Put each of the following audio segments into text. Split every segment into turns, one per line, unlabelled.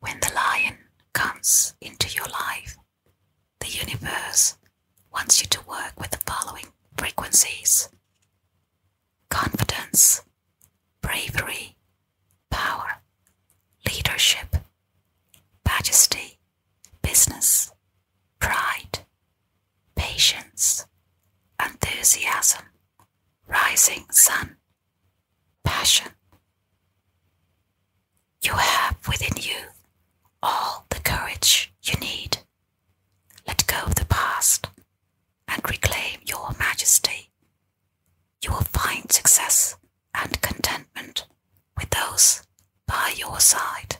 When the lion comes into your life, the universe wants you to work with the following frequencies confidence, bravery, power, leadership, majesty, business, pride, patience, enthusiasm, rising sun, passion. You have within you all the courage you need. Let go of the past and reclaim your majesty. You will find success and contentment with those by your side.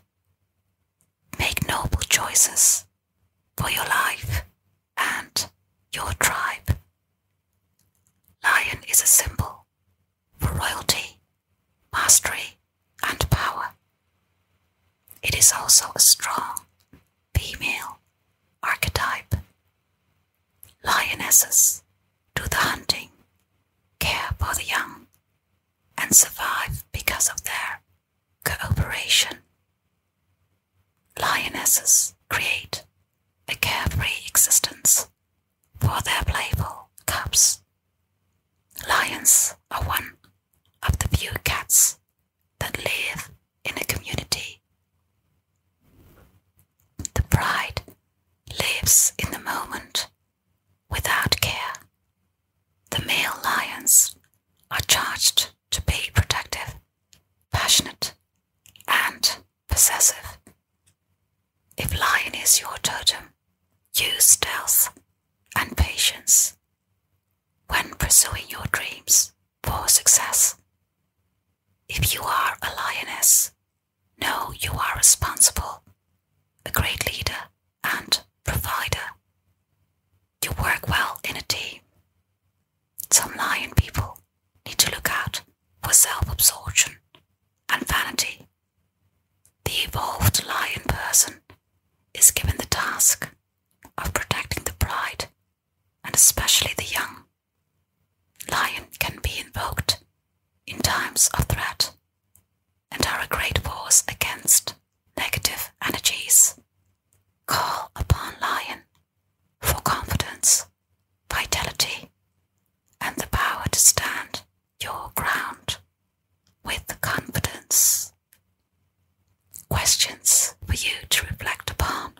Make noble choices for your life and your tribe. Lion is a symbol for royalty, mastery, and power. It is also a strong female archetype. Lionesses do the hunting, care for the young, and survive because of their cooperation. Lionesses create a carefree existence for their playful cubs. Lions are one of the few cats that live in a community. The pride lives in the moment without care the male lions are charged to be protective, passionate, and possessive. If lion is your totem, use stealth and patience when pursuing your dreams for success. If you are a lioness, know you are responsible a great leader and provider. You work well in a team. Some lion people need to look out for self absorption and vanity. The evolved lion person is given the task of protecting the pride and especially the young. Lion can be invoked in times of threat and are a great force against negative energies. Call upon Lion for confidence, vitality, and the power to stand your ground with confidence. Questions for you to reflect upon.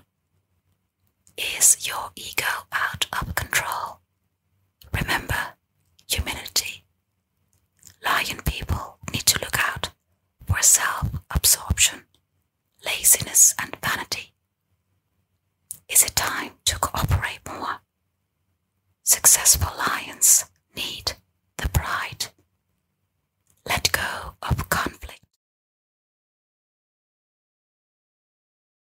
Is your ego out of control Remember, humility. Lion people need to look out for self absorption, laziness, and vanity. Is it time to cooperate more? Successful lions need the pride. Let go of conflict.